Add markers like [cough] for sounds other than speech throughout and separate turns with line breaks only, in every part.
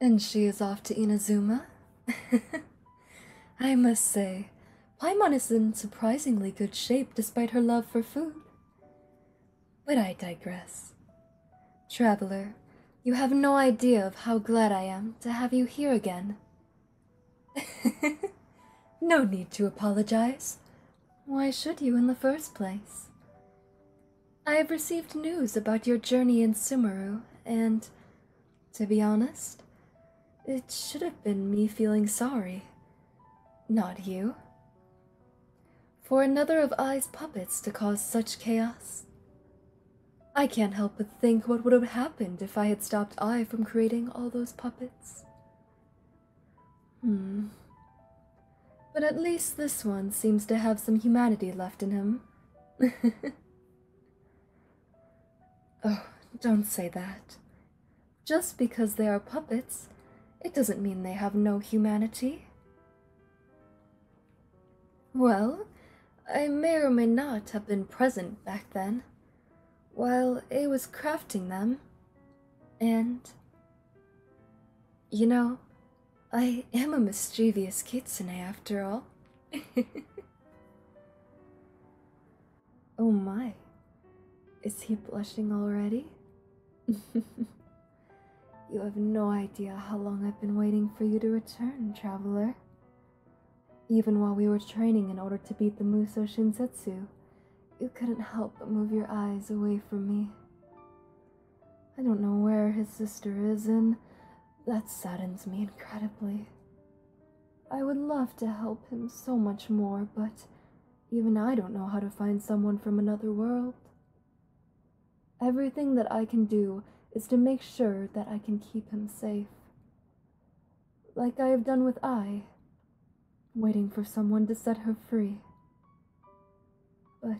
And she is off to Inazuma? [laughs] I must say, Paimon is in surprisingly good shape despite her love for food. But I digress. Traveler, you have no idea of how glad I am to have you here again. [laughs] no need to apologize. Why should you in the first place? I have received news about your journey in Sumeru, and to be honest, it should have been me feeling sorry, not you. For another of Ai's puppets to cause such chaos. I can't help but think what would have happened if I had stopped I from creating all those puppets. Hmm. But at least this one seems to have some humanity left in him. [laughs] oh, don't say that. Just because they are puppets, it doesn't mean they have no humanity. Well, I may or may not have been present back then, while A was crafting them, and you know, I am a mischievous kitsune after all. [laughs] oh my, is he blushing already? [laughs] you have no idea how long I've been waiting for you to return, traveler. Even while we were training in order to beat the Muso Shinsetsu, you couldn't help but move your eyes away from me. I don't know where his sister is, and that saddens me incredibly. I would love to help him so much more, but even I don't know how to find someone from another world. Everything that I can do is to make sure that I can keep him safe. Like I have done with I, waiting for someone to set her free. But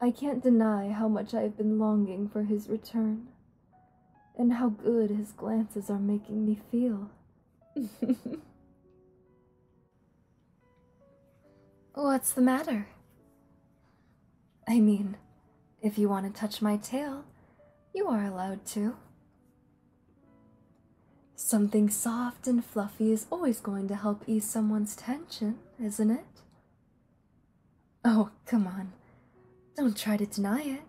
I can't deny how much I have been longing for his return, and how good his glances are making me feel. [laughs] What's the matter? I mean, if you want to touch my tail, you are allowed to. Something soft and fluffy is always going to help ease someone's tension, isn't it? Oh, come on. Don't try to deny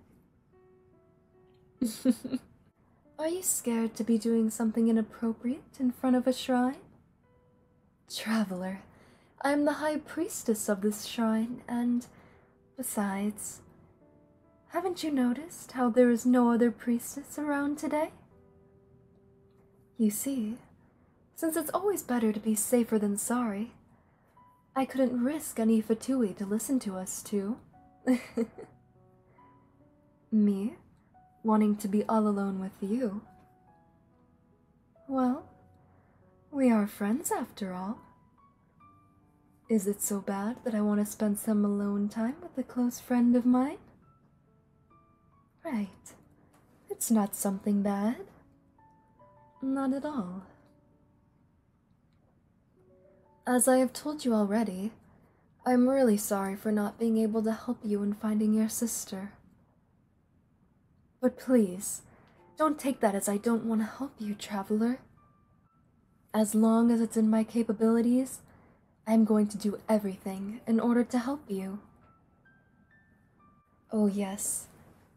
it. [laughs] Are you scared to be doing something inappropriate in front of a shrine? Traveler, I am the high priestess of this shrine, and besides, haven't you noticed how there is no other priestess around today? You see, since it's always better to be safer than sorry, I couldn't risk any Fatui to listen to us too. [laughs] Me? Wanting to be all alone with you? Well, we are friends after all. Is it so bad that I want to spend some alone time with a close friend of mine? Right. It's not something bad. Not at all. As I have told you already, I'm really sorry for not being able to help you in finding your sister. But please, don't take that as I don't want to help you, traveler. As long as it's in my capabilities, I'm going to do everything in order to help you. Oh, yes,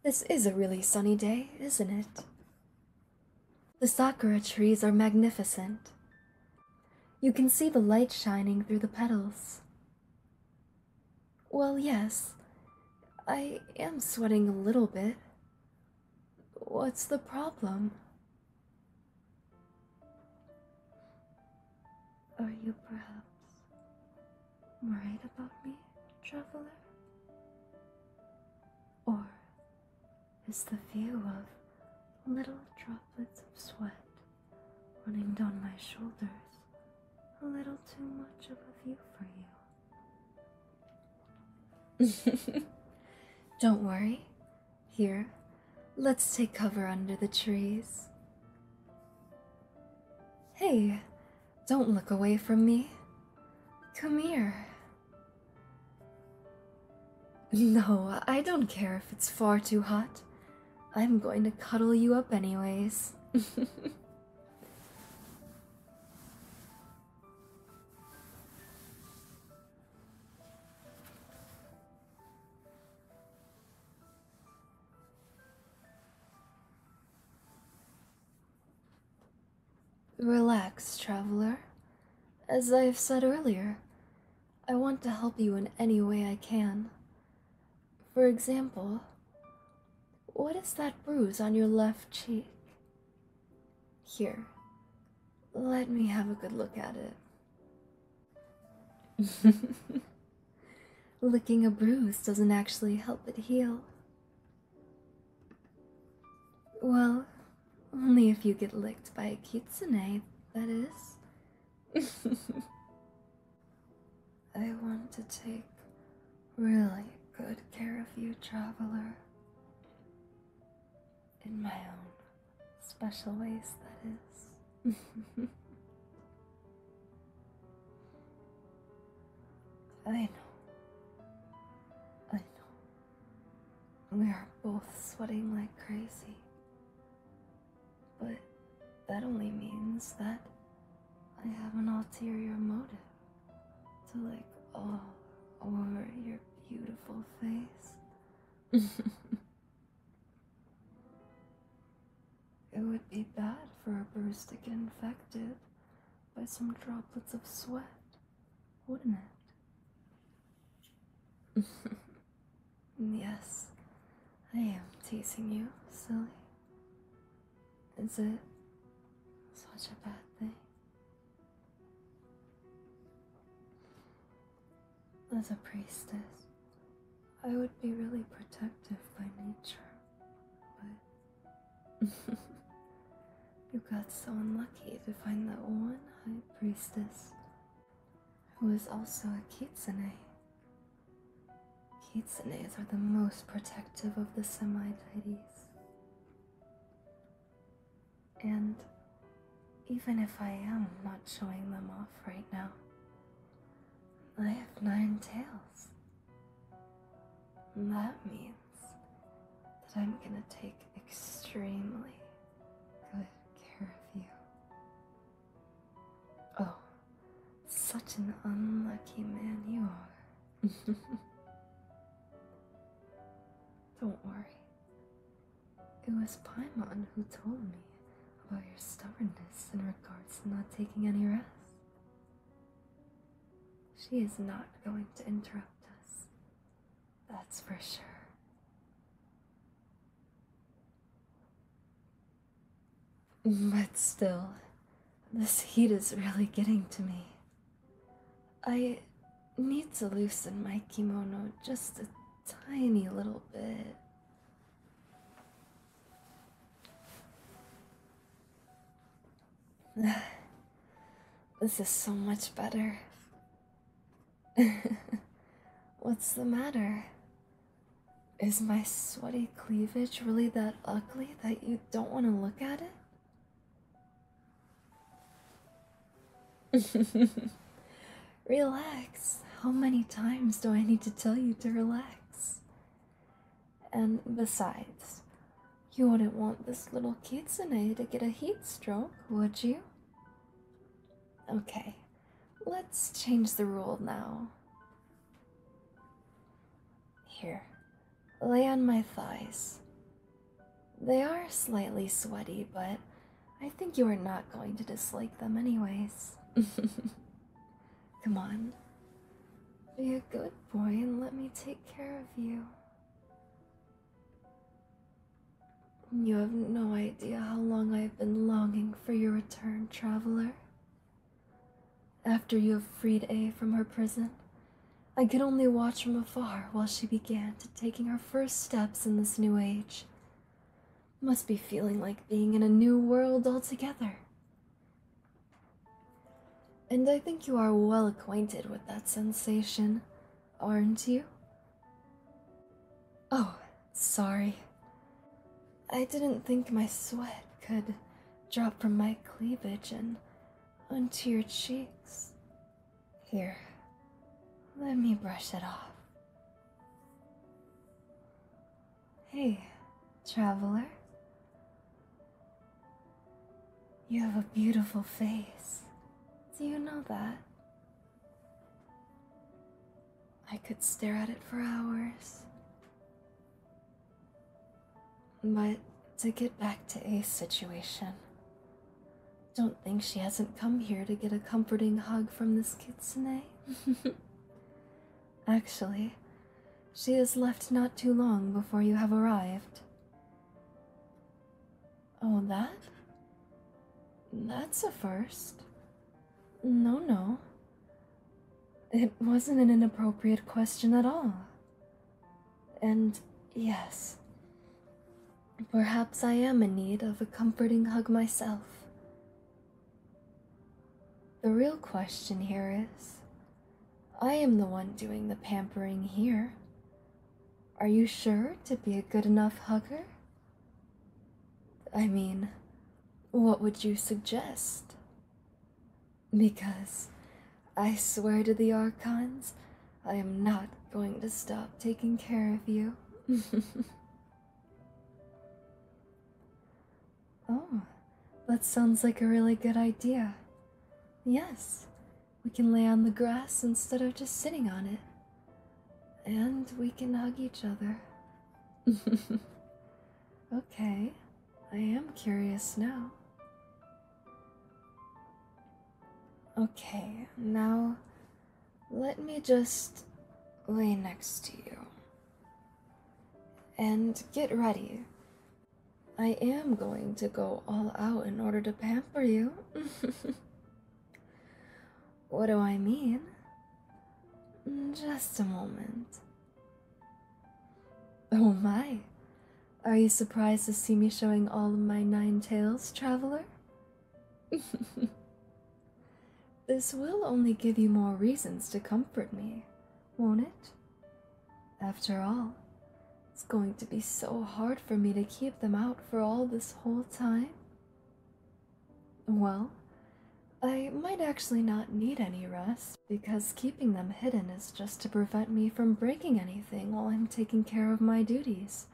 this is a really sunny day, isn't it? The sakura trees are magnificent. You can see the light shining through the petals. Well, yes, I am sweating a little bit, What's the problem? Are you perhaps worried about me, traveler? Or is the view of little droplets of sweat running down my shoulders a little too much of a view for you? [laughs] Don't worry, here, let's take cover under the trees. Hey, don't look away from me. Come here. No, I don't care if it's far too hot. I'm going to cuddle you up, anyways. [laughs] Relax, traveler. As I have said earlier, I want to help you in any way I can. For example, what is that bruise on your left cheek? Here, let me have a good look at it. [laughs] Licking a bruise doesn't actually help it heal. Well, only if you get licked by a kitsune, that is. [laughs] I want to take really good care of you, traveler in my own special ways, that is. [laughs] I know. I know. We are both sweating like crazy. But that only means that I have an ulterior motive to like all over your beautiful face. [laughs] it would be bad for a bruise to get infected by some droplets of sweat, wouldn't it? [laughs] yes, I am teasing you, silly. Is it such a bad thing? As a priestess, I would be really protective by nature, but [laughs] you got so unlucky to find that one high priestess who is also a kitsune. Kitsunes are the most protective of the semi deities. And even if I am not showing them off right now, I have nine tails. that means that I'm gonna take extremely good care of you. Oh, such an unlucky man you are. [laughs] Don't worry. It was Paimon who told me about your stubbornness in regards to not taking any rest. She is not going to interrupt us. That's for sure. But still, this heat is really getting to me. I need to loosen my kimono just a tiny little bit. [sighs] This is so much better. [laughs] What's the matter? Is my sweaty cleavage really that ugly that you don't want to look at it? [laughs] relax. How many times do I need to tell you to relax? And besides, you wouldn't want this little kitsune to get a heat stroke, would you? Okay, let's change the rule now. Here, lay on my thighs. They are slightly sweaty, but I think you are not going to dislike them, anyways. [laughs] Come on. Be a good boy and let me take care of you. You have no idea how long I've been longing for your return, traveler. After you have freed A from her prison, I could only watch from afar while she began taking her first steps in this new age. Must be feeling like being in a new world altogether. And I think you are well acquainted with that sensation, aren't you? Oh, sorry. I didn't think my sweat could drop from my cleavage and onto your cheeks. Here, let me brush it off. Hey, traveler. You have a beautiful face. Do you know that? I could stare at it for hours. But to get back to Ace's situation, don't think she hasn't come here to get a comforting hug from this kitsune. [laughs] Actually, she has left not too long before you have arrived. Oh, that? That's a first. No, no. It wasn't an inappropriate question at all. And yes, perhaps I am in need of a comforting hug myself. The real question here is I am the one doing the pampering here. Are you sure to be a good enough hugger? I mean, what would you suggest? Because I swear to the Archons, I am not going to stop taking care of you. [laughs] oh, that sounds like a really good idea. Yes, we can lay on the grass instead of just sitting on it. And we can hug each other. [laughs] Okay, I am curious now. Okay, now let me just lay next to you. And get ready. I am going to go all out in order to pamper you. [laughs] what do I mean? Mm, just a moment. Oh my! Are you surprised to see me showing all of my nine tails, traveler? [laughs] this will only give you more reasons to comfort me, won't it? After all, it's going to be so hard for me to keep them out for all this whole time. Well, I might actually not need any rest because keeping them hidden is just to prevent me from breaking anything while I'm taking care of my duties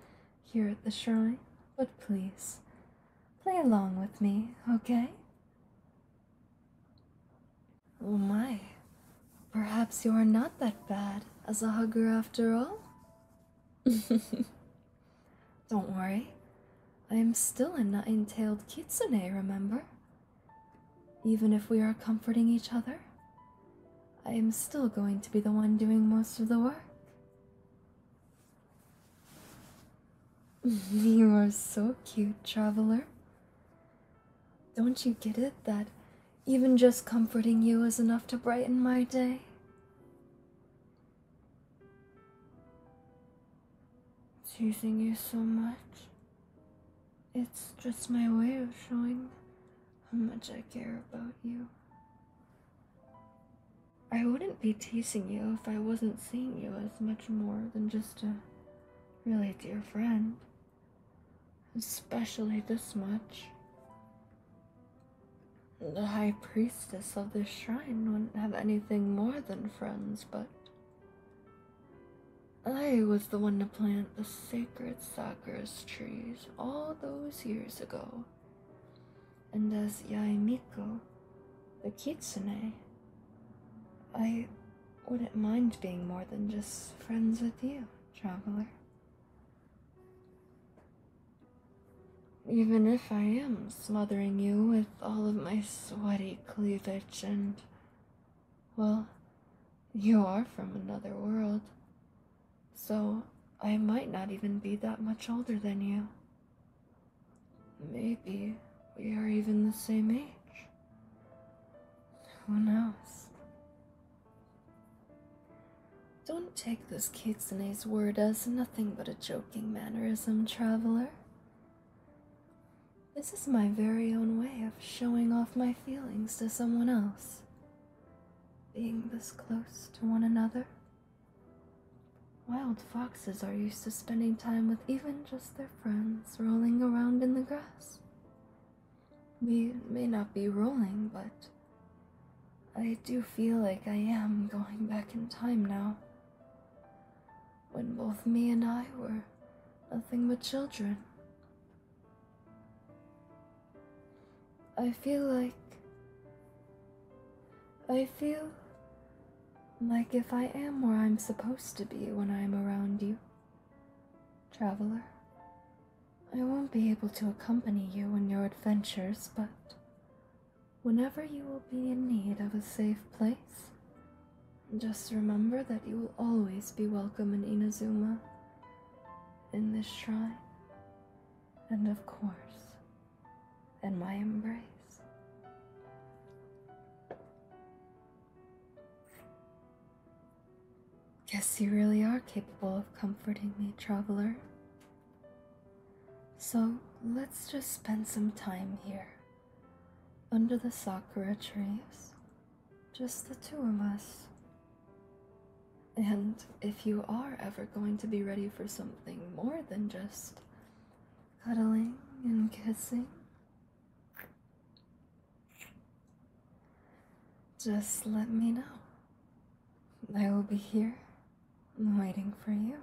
here at the shrine. But please, play along with me, okay? Oh my, perhaps you're not that bad as a hugger after all? [laughs] Don't worry, I am still a nine tailed kitsune, remember? Even if we are comforting each other, I am still going to be the one doing most of the work. [laughs] you are so cute, traveler. Don't you get it that even just comforting you is enough to brighten my day? It's using you so much. It's just my way of showing how much I care about you. I wouldn't be teasing you if I wasn't seeing you as much more than just a really dear friend. Especially this much. The high priestess of this shrine wouldn't have anything more than friends, but I was the one to plant the sacred sakura trees all those years ago. And as Yaimiko, the kitsune, I wouldn't mind being more than just friends with you, traveler. Even if I am smothering you with all of my sweaty cleavage and. Well, you are from another world, so I might not even be that much older than you. Maybe we are even the same age. Who knows? Don't take this kitsune's word as nothing but a joking mannerism, traveler. This is my very own way of showing off my feelings to someone else. Being this close to one another. Wild foxes are used to spending time with even just their friends rolling around in the grass. We may not be rolling, but I do feel like I am going back in time now. When both me and I were nothing but children. I feel like. I feel like if I am where I'm supposed to be when I'm around you, traveler, I won't be able to accompany you in your adventures, but Whenever you will be in need of a safe place, just remember that you will always be welcome in Inazuma, in this shrine, and of course, in my embrace. Guess you really are capable of comforting me, traveler. So let's just spend some time here under the sakura trees, just the two of us. And if you are ever going to be ready for something more than just cuddling and kissing, just let me know. I will be here, waiting for you.